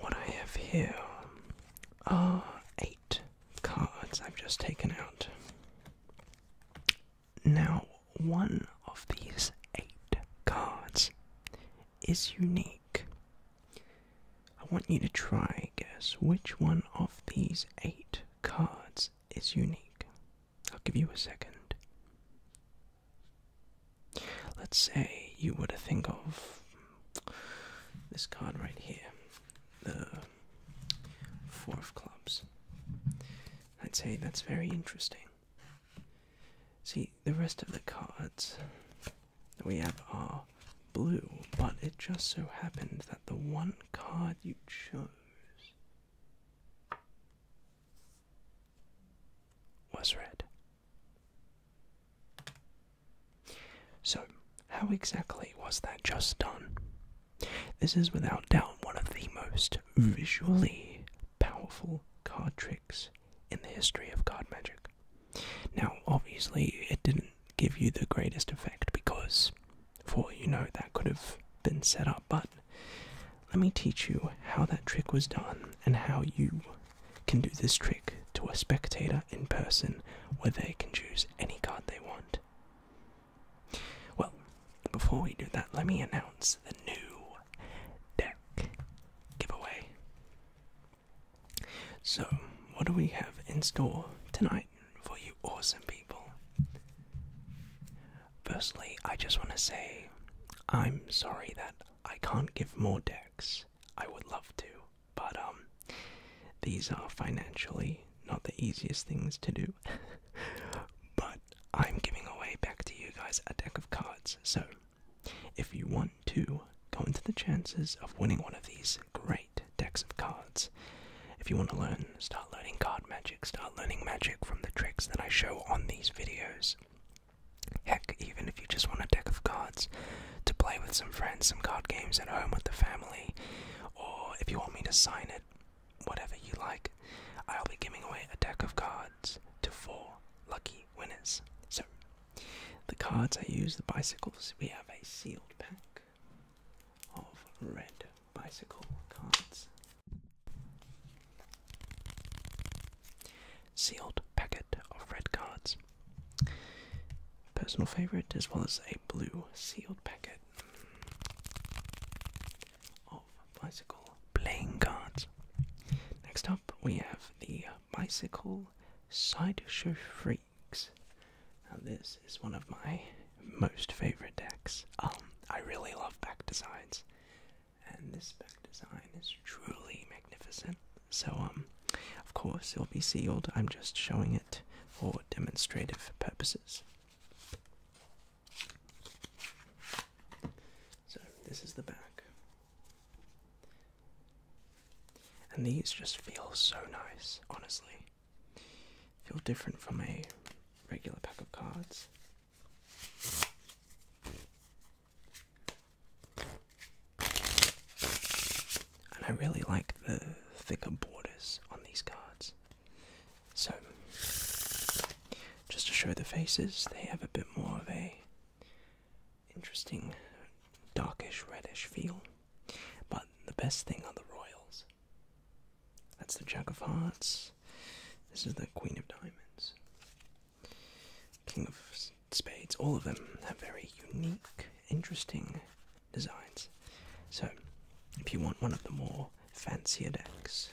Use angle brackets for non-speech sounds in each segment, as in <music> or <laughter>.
What I have here are eight cards I've just taken out. Now, one of these eight cards is unique. I want you to try guess which one of these eight cards is unique. I'll give you a second. Let's say you were to think of this card right here, the Four of Clubs. I'd say that's very interesting. See, the rest of the cards that we have are blue, but it just so happened that the one card you chose was red. So, how exactly was that just done? This is without doubt one of the most hmm. visually powerful card tricks in the history of card magic. Now, obviously, it didn't give you the greatest effect because, for you know, that could have been set up, but let me teach you how that trick was done and how you can do this trick to a spectator in person where they can choose any card they want. Well, before we do that, let me announce the new deck giveaway. So, what do we have in store tonight for you awesome people? Firstly, I just want to say I'm sorry that I can't give more decks. I would love to, but um, these are financially not the easiest things to do. <laughs> but I'm giving away back to you guys a deck of cards, so if you want to go into the chances of winning one of these great decks of cards, if you want to learn, start learning card magic, start learning magic from the tricks that I show on these videos. Heck, even if you just want a deck of cards to play with some friends, some card games at home with the family, or if you want me to sign it, whatever you like, I'll be giving away a deck of cards to four lucky winners. So, the cards I use, the bicycles, we have a sealed pack of red bicycle cards. Sealed packet of red cards. Personal favourite, as well as a blue sealed packet of bicycle playing cards. Next up, we have the Bicycle Sideshow Freaks. Now, this is one of my most favourite decks. Um, I really love back designs and this spec design is truly magnificent. So, um, of course, it'll be sealed. I'm just showing it for demonstrative purposes. So, this is the back. And these just feel so nice, honestly. Feel different from a regular pack of cards. And I really like the thicker borders on these cards. So, just to show the faces, they have a bit more of a interesting darkish reddish feel. But the best thing are the royals. That's the Jack of Hearts. This is the Queen of Diamonds. King of Spades. All of them have very unique, interesting designs. So, if you want one of the more fancier decks,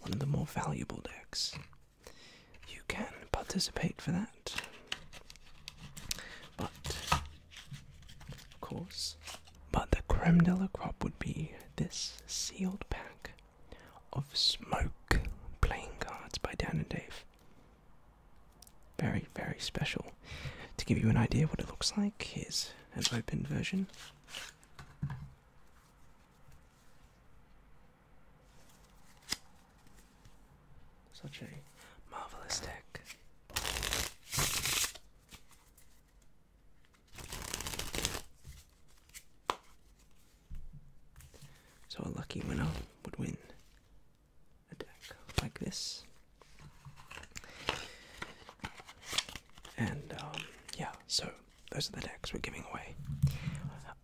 one of the more valuable decks, you can participate for that. But of course. But the creme de la crop would be this sealed pack of smoke playing cards by Dan and Dave. Very, very special. To give you an idea what it looks like, here's an open version. Such a marvelous deck. So a lucky winner would win a deck like this. And um, yeah, so those are the decks we're giving away.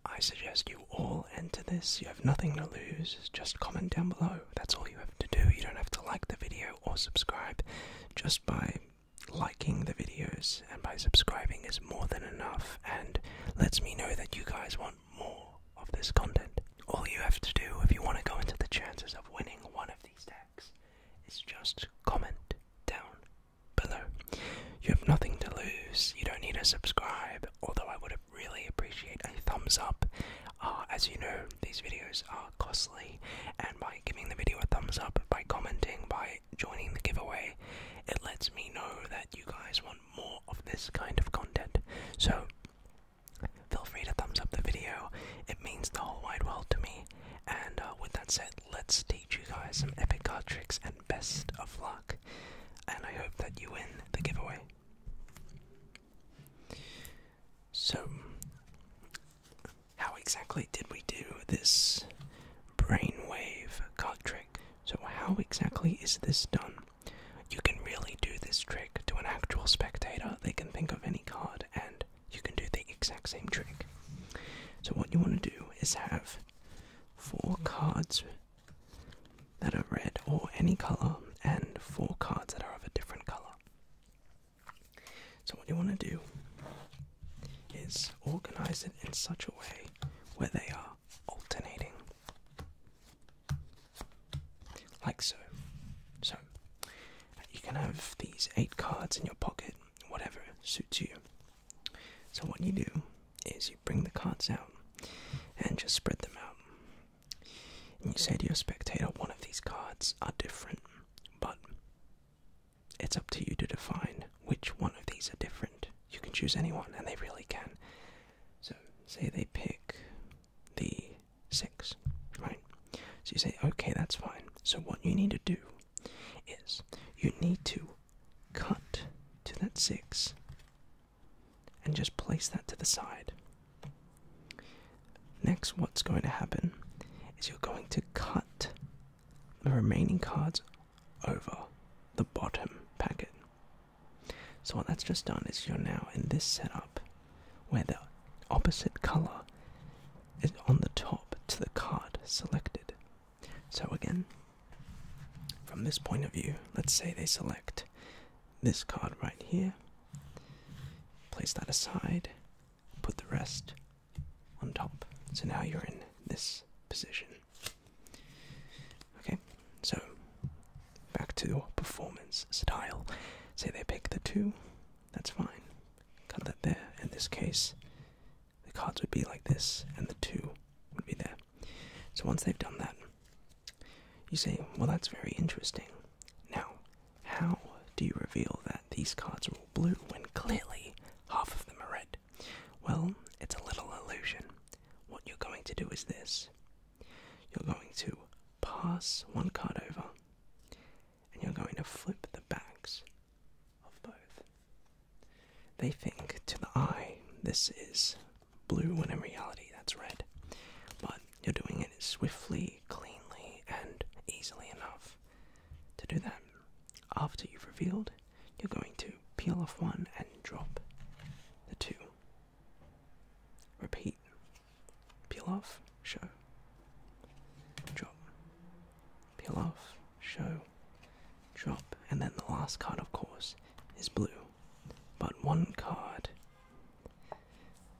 I suggest you all enter this. You have nothing to lose. Just comment down below. That's all you have to do. You don't have to like the video or subscribe. Just by liking the videos and by subscribing is more than enough and lets me know that you guys want more of this content. All you have to do if you want to go into the chances of winning one of these decks, is just comment down below. You have nothing to lose, you don't need to subscribe, although I would really appreciate a thumbs up as you know, these videos are costly, and by giving the video a thumbs up, by commenting, by joining the giveaway, it lets me know that you guys want more of this kind of content. So, feel free to thumbs up the video, it means the whole wide world to me. And uh, with that said, let's teach you guys some epic card tricks and best of luck. And I hope that you win the giveaway. So, how exactly did we do this brainwave card trick? So, how exactly is this done? You can really do this trick to an actual spectator. They can think of any card and you can do the exact same trick. So, what you want to do is have four cards that are red or any color and four cards that are of a different color. So, what you want to do is organize it in such a way where they are alternating. Like so. So, you can have these eight cards in your pocket, whatever suits you. So, what you do is you bring the cards out and just spread them out and you say to your spectator, one of these cards are different, but it's up to you to define which one of these are different. You can choose anyone, and they really can. So, say they pick the six, right? So you say, okay, that's fine. So, what you need to do is you need to cut to that six and just place that to the side. Next, what's going to happen is you're going to cut the remaining cards over the bottom packet. So, what that's just done is you're now in this setup where the opposite color is on the top to the card selected. So, again, from this point of view, let's say they select this card right here Place that aside, put the rest on top. So now you're in this position. Okay, so back to performance style. Say they pick the two, that's fine. Cut that there. In this case, the cards would be like this, and the two would be there. So once they've done that, you say, well, that's very interesting. Now, how do you reveal that these cards are all blue when clearly half of them are red? Well, it's a little illusion. What you're going to do is this you're going to pass one card over, and you're going to flip the backs of both. They think to the eye this is blue when in reality that's red. But you're doing it swiftly, cleanly, and easily enough. To do that, after you've revealed, you're going to peel off one and drop the two. Repeat. Peel off, show. Drop. Peel off, show. Drop. And then the last card, of course, is blue but one card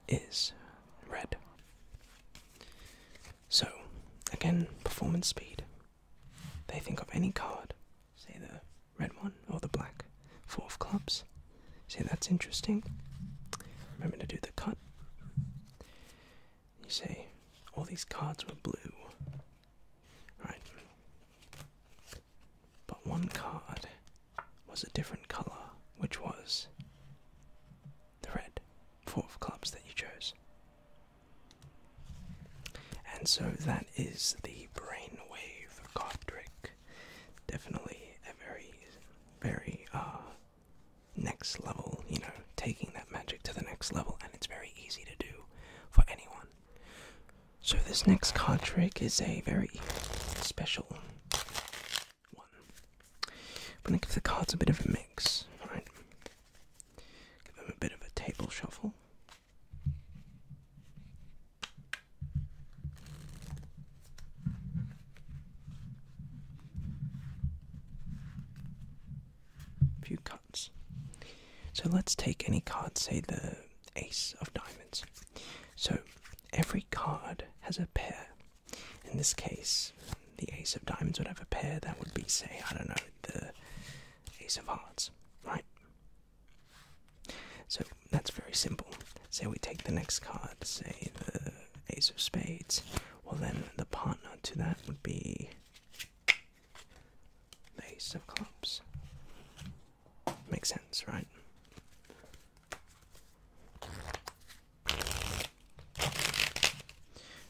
is red. So, again, performance speed. They think of any card, say the red one or the black, four of clubs. Say that's interesting. Remember to do the cut. You say all these cards were blue. Right. But one card was a different colour, which was the red, four of clubs that you chose. And so that is the brainwave card trick. Definitely a very, very uh, next level, you know, taking that magic to the next level, and it's very easy to do for anyone. So, this next card trick is a very special one. I'm gonna give the cards a bit of a mix, alright? Give them a bit of a table shuffle. A few cuts. So let's take any card, say the Ace of Diamonds. So every card has a pair. In this case, the Ace of Diamonds would have a pair that would be, say, I don't know, the Ace of Hearts, right? So that's very simple. Say we take the next card, say the Ace of Spades. Well, then the partner to that would be the Ace of Clubs. Makes sense, right?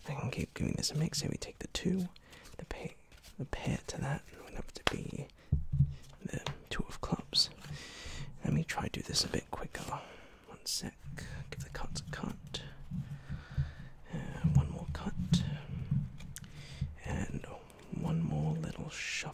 I can keep giving this a mix. Here we take the two, the pair, to that, and it would have to be the two of clubs. Let me try do this a bit quicker. One sec. Give the cards a cut. Uh, one more cut, and one more little shuffle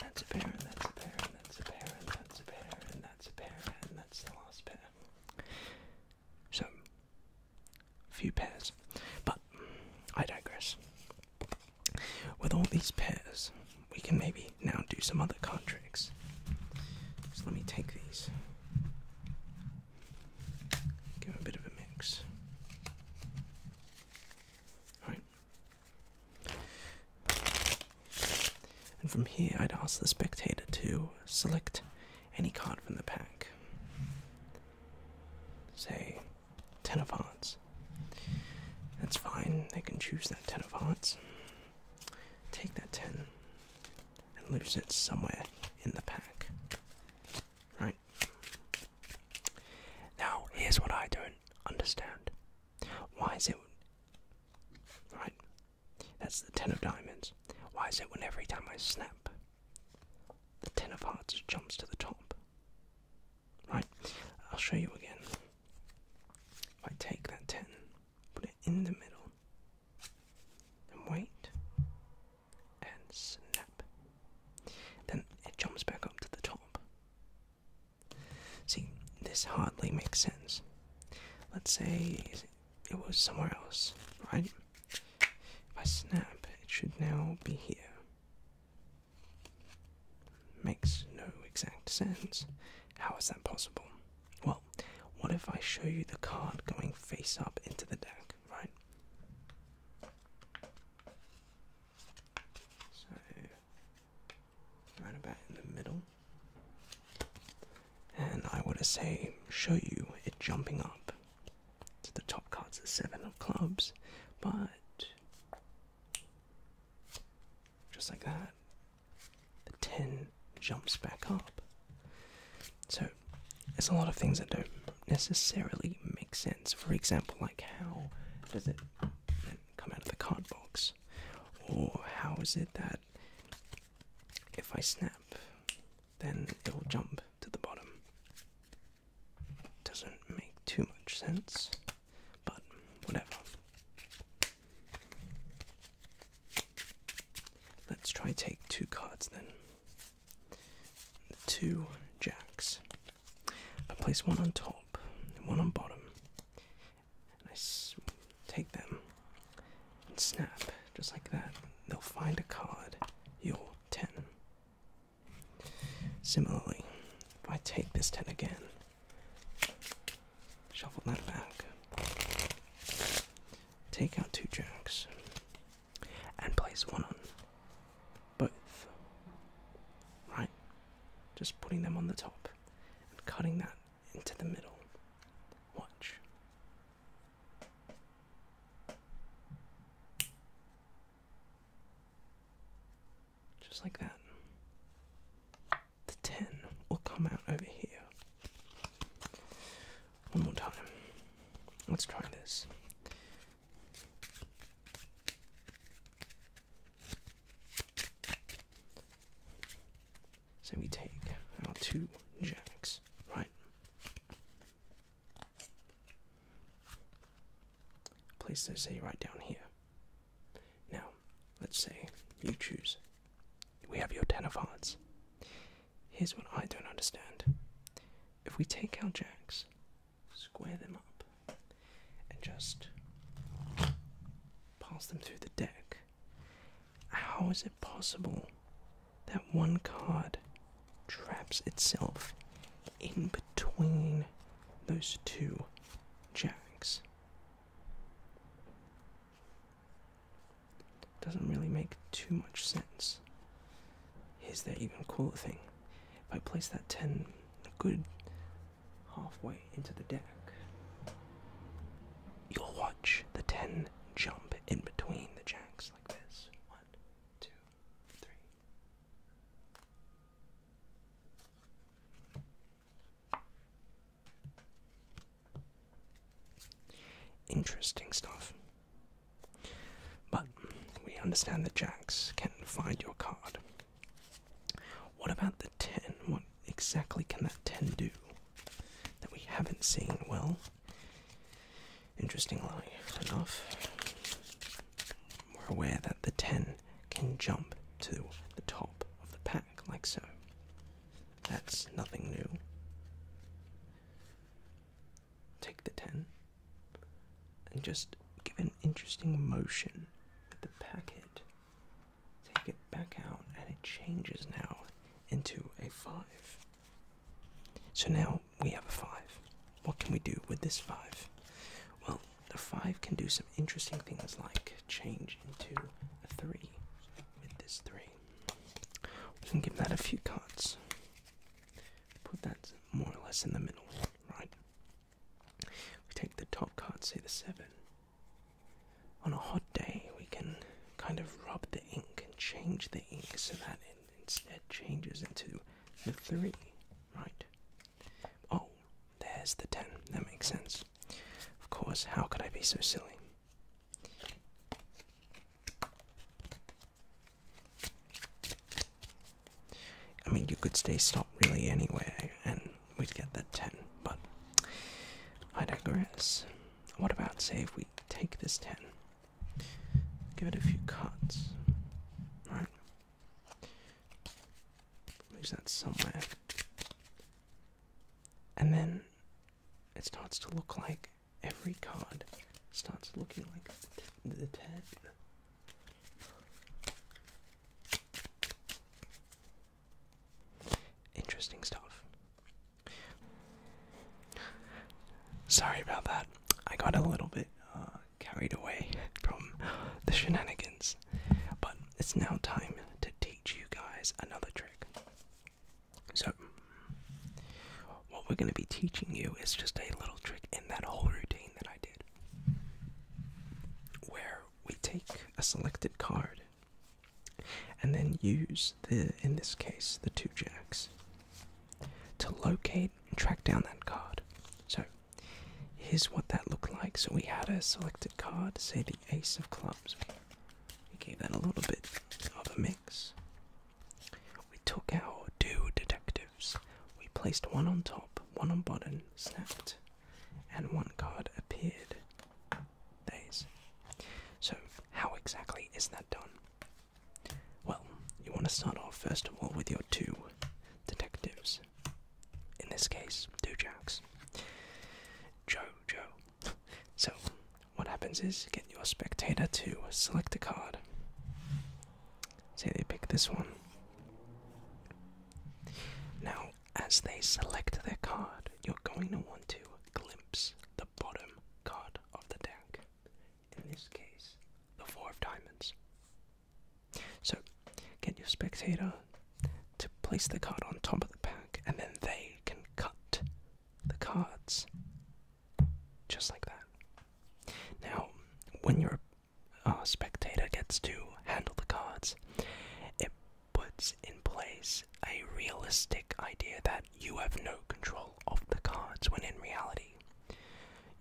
that's a pair, and that's a pair, and that's a pair, and that's a pair, and that's a pair, and that's the last pair. So, few pairs. But, I digress. With all these pairs, we can maybe now do some other contracts. So let me take these. Give a bit of a mix. Alright, and from here, I'd ask the spectator to select any card from the pack. Say, Ten of Hearts. That's fine, they can choose that Ten of Hearts. Take that 10 and lose it somewhere in the pack. Right. Now, here's what I don't understand. Why is it. Right. That's the ten of diamonds. Why is it when every time I snap, the ten of hearts jumps to the top? Right. I'll show you again. If I take that ten, put it in the middle, and wait, and snap. Then it jumps back up to the top. See, this hardly makes sense. Let's say it was somewhere else, right? If I snap, it should now be here. Makes no exact sense. How is that possible? Well, what if I show you the card going face up into the deck, right? So right about in the middle. And I would say show you it jumping up to the top cards of seven of clubs, but just like that, the ten jumps back up. So there's a lot of things that don't necessarily make sense. For example, like how does it come out of the card box? Or how is it that if I snap, then it'll jump to the bottom? Doesn't make too much sense, but whatever. Let's try take two cards then two jacks. I place one on top, one on bottom, and I take them and snap just like that. They'll find a card, your 10. Similarly, if I take this 10 again, shuffle that back, take out two jacks, and place one on both. Right? Just putting them on the top and cutting that into the middle. Watch. Just like that. The 10 will come out over here. One more time. Let's try this. So we take our two jacks, right? Place those, a right down here. Now, let's say you choose. We have your ten of hearts. Here's what I don't understand. If we take our jacks, square them up, and just pass them through the deck, how is it possible that one card traps itself in between those two jacks? Doesn't really make too much sense. Here's the even cooler thing. If I place that 10 a good halfway into the deck, you'll watch the 10 jump in between the jacks like this. One, two, three. Interesting stuff. But we understand that jacks can find your card. What about the 10? What exactly can that 10 do that we haven't seen? Well, interestingly enough, we're aware that the 10 can jump to the top of the pack, like so. That's nothing new take the 10 and just give an interesting motion with the packet. Take it back out, and it changes now into a 5. So now we have a 5. What can we do with this 5? Well, the 5 can do some interesting things like change into a 3 with this 3. We can give that a few cuts. Put that more or less in the middle, right? We take the top card, say the seven. On a hot day, we can kind of rub the ink and change the ink so that instead changes into the three, right? Oh, there's the ten. That makes sense. Of course, how could I be so silly? I mean, you could stay stopped really anywhere and we'd get that 10, but I digress. What about, say, if we take this 10, give it a few cuts, right? Lose that somewhere. And then it starts to look like every card starts looking like the ten. Interesting stuff. Sorry about that. I got a little bit uh, carried away from the shenanigans, but it's now time to teach you guys another trick. So, what we're going to be teaching you is just a little trick in that whole routine that I did. Where we take a selected card and then use the, in this case, the two jacks to locate and track down that card. So, here's what that looked like. So, we had a selected card, say the ace of clubs. We gave that a little bit of a mix. We took our two detectives. We placed one on top, one on bottom, snapped, and one card appeared. Days. So, how exactly is that done? Well, you want to start off first of all with your two detectives. In this case, two jacks. Joe, Joe, so, what happens is get your spectator to select a card. Say they pick this one. Now, as they select their card, you're going to want to glimpse the bottom card of the deck. In this case, the Four of Diamonds. So, get your spectator to place the card on top of the pack, and then they can cut the cards. Just like that. Now, when your uh, spectator gets to handle the cards, it puts in place a realistic idea that you have no control of the cards when in reality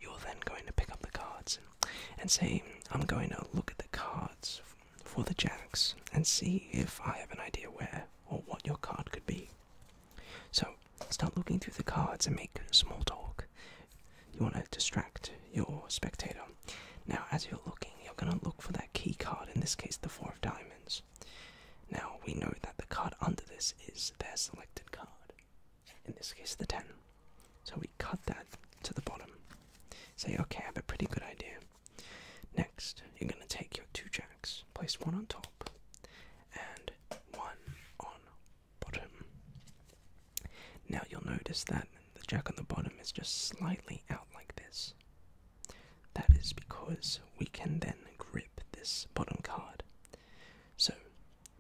you're then going to pick up the cards and say, I'm going to look at the cards for the jacks and see if I have an idea where or what your card could be. So start looking through the cards and make small talk. You want to distract your spectator. Now, as you're looking, you're going to look for that key card, in this case, the Four of Diamonds. Now, we know that the card under this is their selected card, in this case, the 10. So we cut that to the bottom. Say, okay, I have a pretty good idea. Next, you're going to take your two jacks, place one on top and one on bottom. Now you'll notice that the jack on the bottom is just slightly out like this. That is because we can then grip this bottom card. So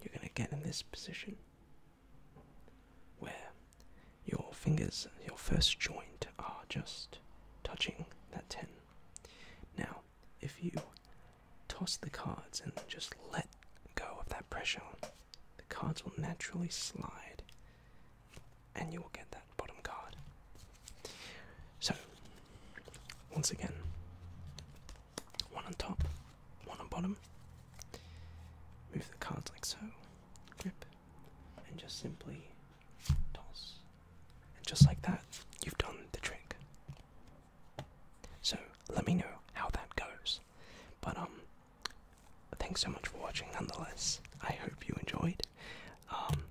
you're going to get in this position where your fingers, your first joint, are just touching now, if you toss the cards and just let go of that pressure, the cards will naturally slide and you will get that bottom card. So, once again, one on top, one on bottom. Move the cards like so, grip, and just simply and just like that, you've done the trick. So let me know how that goes. But um thanks so much for watching nonetheless. I hope you enjoyed. Um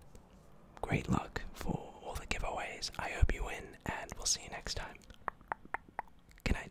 great luck for all the giveaways. I hope you win and we'll see you next time. Good night.